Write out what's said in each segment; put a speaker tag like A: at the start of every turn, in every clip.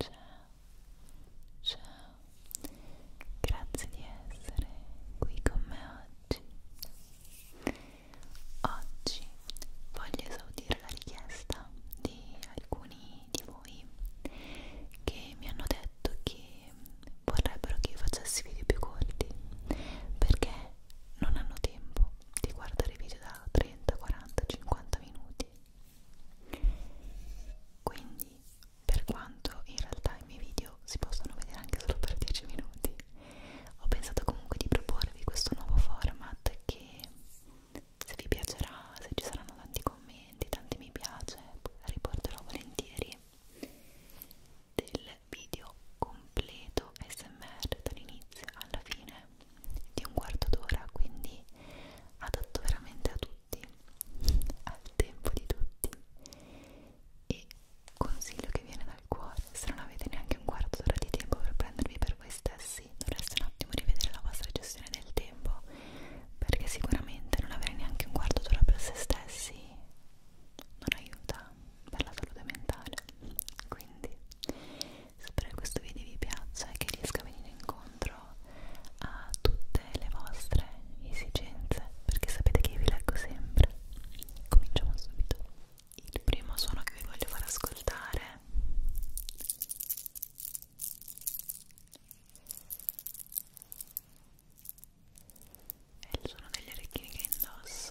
A: ciao ciao grazie di essere qui con me oggi oggi voglio esaudire la richiesta di alcuni di voi che mi hanno detto che vorrebbero che io facessi video più corti perché non hanno tempo di guardare video da 30, 40, 50 minuti quindi per quanto in realtà i miei video si possano vedere anche solo per 10 minuti ho pensato comunque di proporvi questo nuovo format che se vi piacerà, se ci saranno tanti commenti, tanti mi piace riporterò volentieri del video completo smr dall'inizio alla fine di un quarto d'ora, quindi adatto veramente a tutti, al tempo di tutti e consiglio che viene dal cuore, se non avete neanche un quarto d'ora di tempo per prendervi per voi stessi dovreste un attimo rivedere la vostra gestione del tempo perché sicuramente non avere neanche un quarto d'ora per se stessi non aiuta per la salute mentale quindi Spero che questo video vi piaccia e che riesca a venire incontro a tutte le vostre esigenze, perché sapete che io vi leggo sempre. Cominciamo subito. Il primo suono che vi voglio far ascoltare è il suono degli orecchini che indosso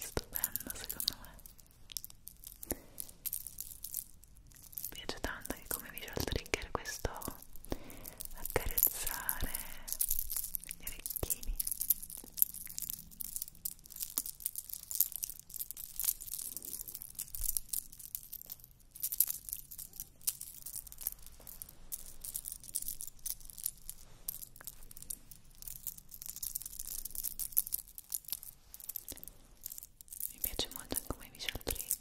A: Stupendo secondo me. Mi piace tanto che come visual trigger questo accarezzare gli orecchini mi piace molto anche come visual trigger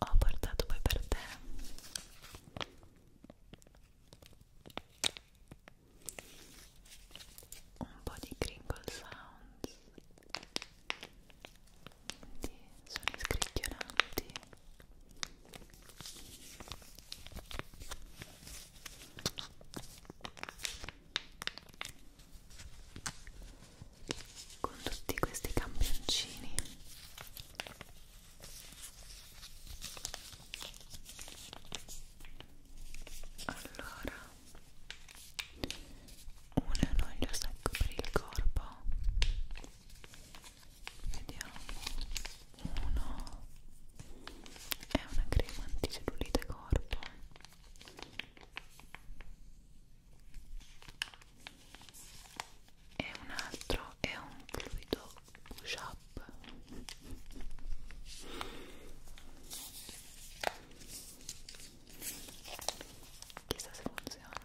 A: ho portato poi per te un po' di crinkle sounds di suoni scricchiolanti con tutti questi campioncini allora un enoglio secco per il corpo vediamo uno è una crema anticellulite corpo e un altro è un fluido push up chissà se funziona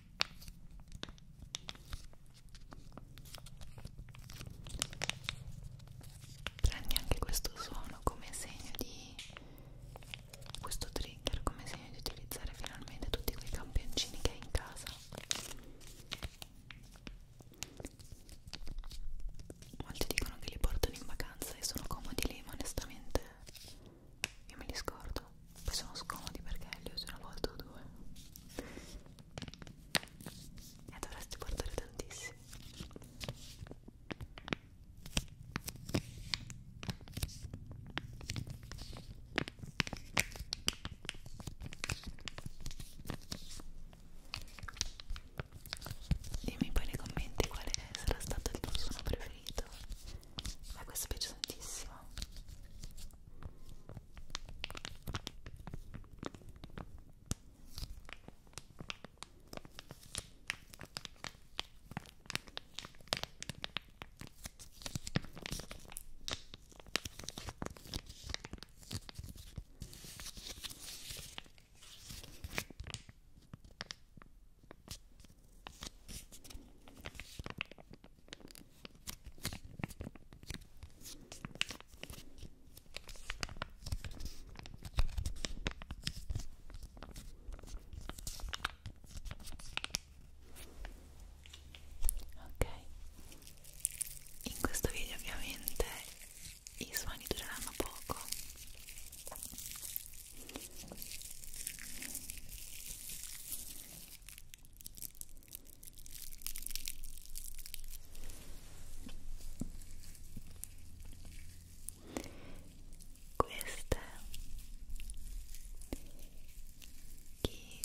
A: Prendi anche questo suono come segno di questo trigger, come segno di utilizzare finalmente tutti quei campioncini che hai in casa. Molti dicono che li portano in vacanza e sono comodi lì, ma onestamente io me li scordo poi sono scomodi perché li uso una volta o due e dovresti portare tantissimi Dimmi poi nei commenti quale sarà stato il tuo suono preferito a questo piace tantissimo Ok, in questo video ovviamente i suoni dureranno poco queste chi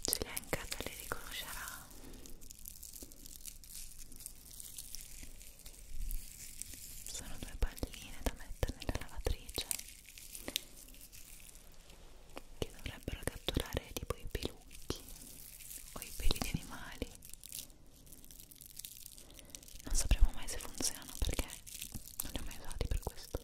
A: ce le ha in casa le riconoscerà sono due palline da mettere nella lavatrice che dovrebbero catturare tipo i pelucchi o i peli di animali non sapremo mai se funzionano perché non li ho mai usati per questo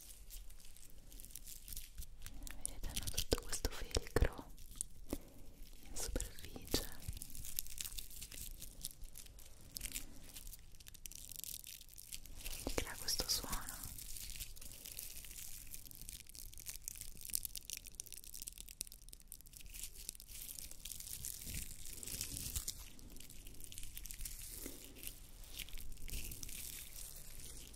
A: vedete hanno tutto questo velcro in superficie crea questo suono Ora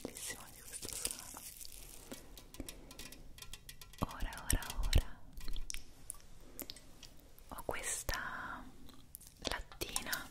A: bellissimo di questo suono ora ora ora ho questa lattina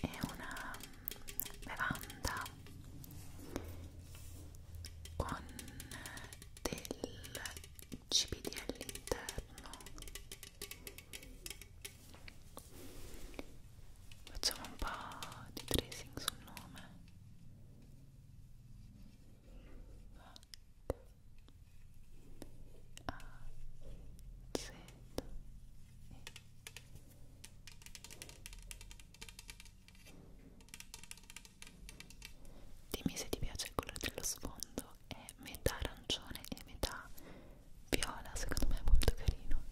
A: è una bevanda con del CBD all'interno facciamo un po' di tracing sul nome H A Z E Dimmi se ti piace il colore dello sfondo, è metà arancione e metà viola, secondo me è molto carino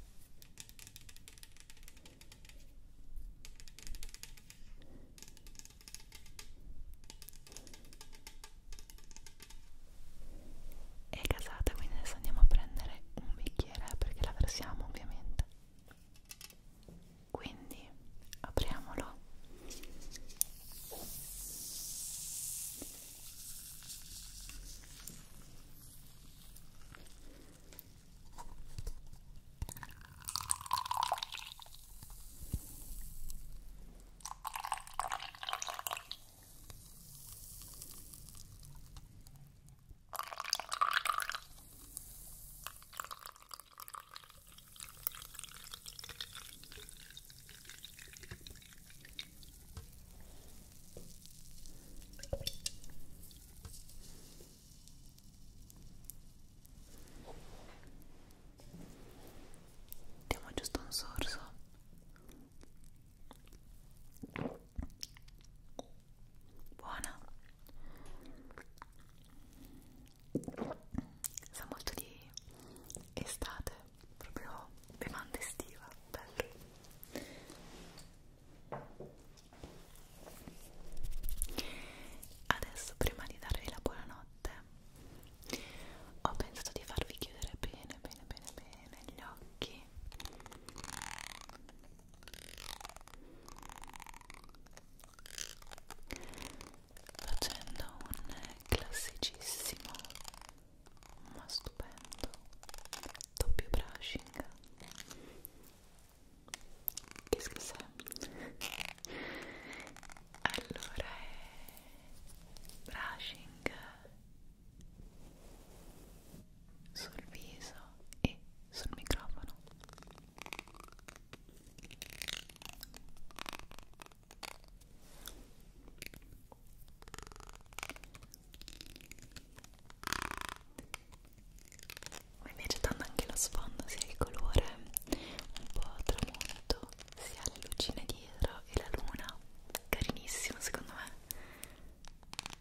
A: è casata quindi adesso andiamo a prendere un bicchiere perché la versiamo ovviamente quindi apriamolo Diamo giusto un sorso buona sa molto di estate proprio bevanda estiva bello adesso prima di darvi la buonanotte ho pensato di farvi chiudere bene bene bene bene gli occhi facendo un classicissimo ma stupendo doppio brushing che scusa allora è brushing sul viso e sul microfono mi piace tanto anche lo sfondo sia il colore un po' tramonto si ha le lucine dietro e la luna carinissimo secondo me ok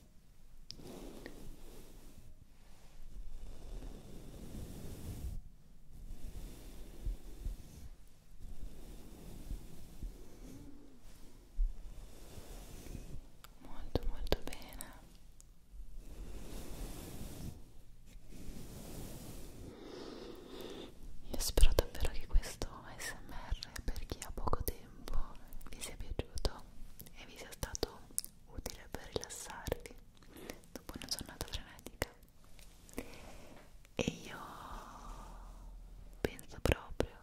A: molto molto bene io spero davvero che questo smr per chi ha poco tempo vi sia piaciuto e vi sia stato utile per rilassarvi dopo una giornata frenetica e io penso proprio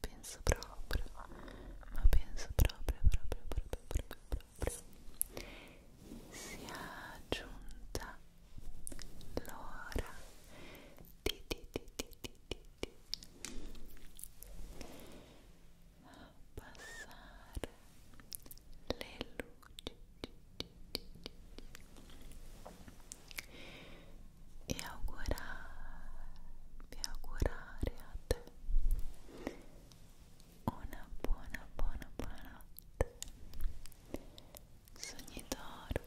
A: penso proprio ma penso proprio proprio proprio proprio proprio sia giunta l'ora di di di di di di denti a passare le luci e augurarvi augurare a te una buona buona buona notte sogni d'oro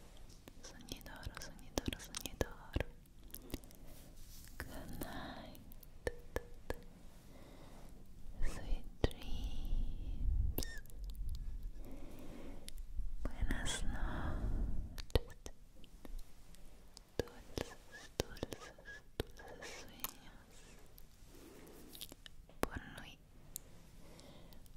A: sonidoro, sonidoro, sonidoro. Good night. Sweet dreams. Buenas noches. Dulces, dulces, dulces sueños. Por hoy.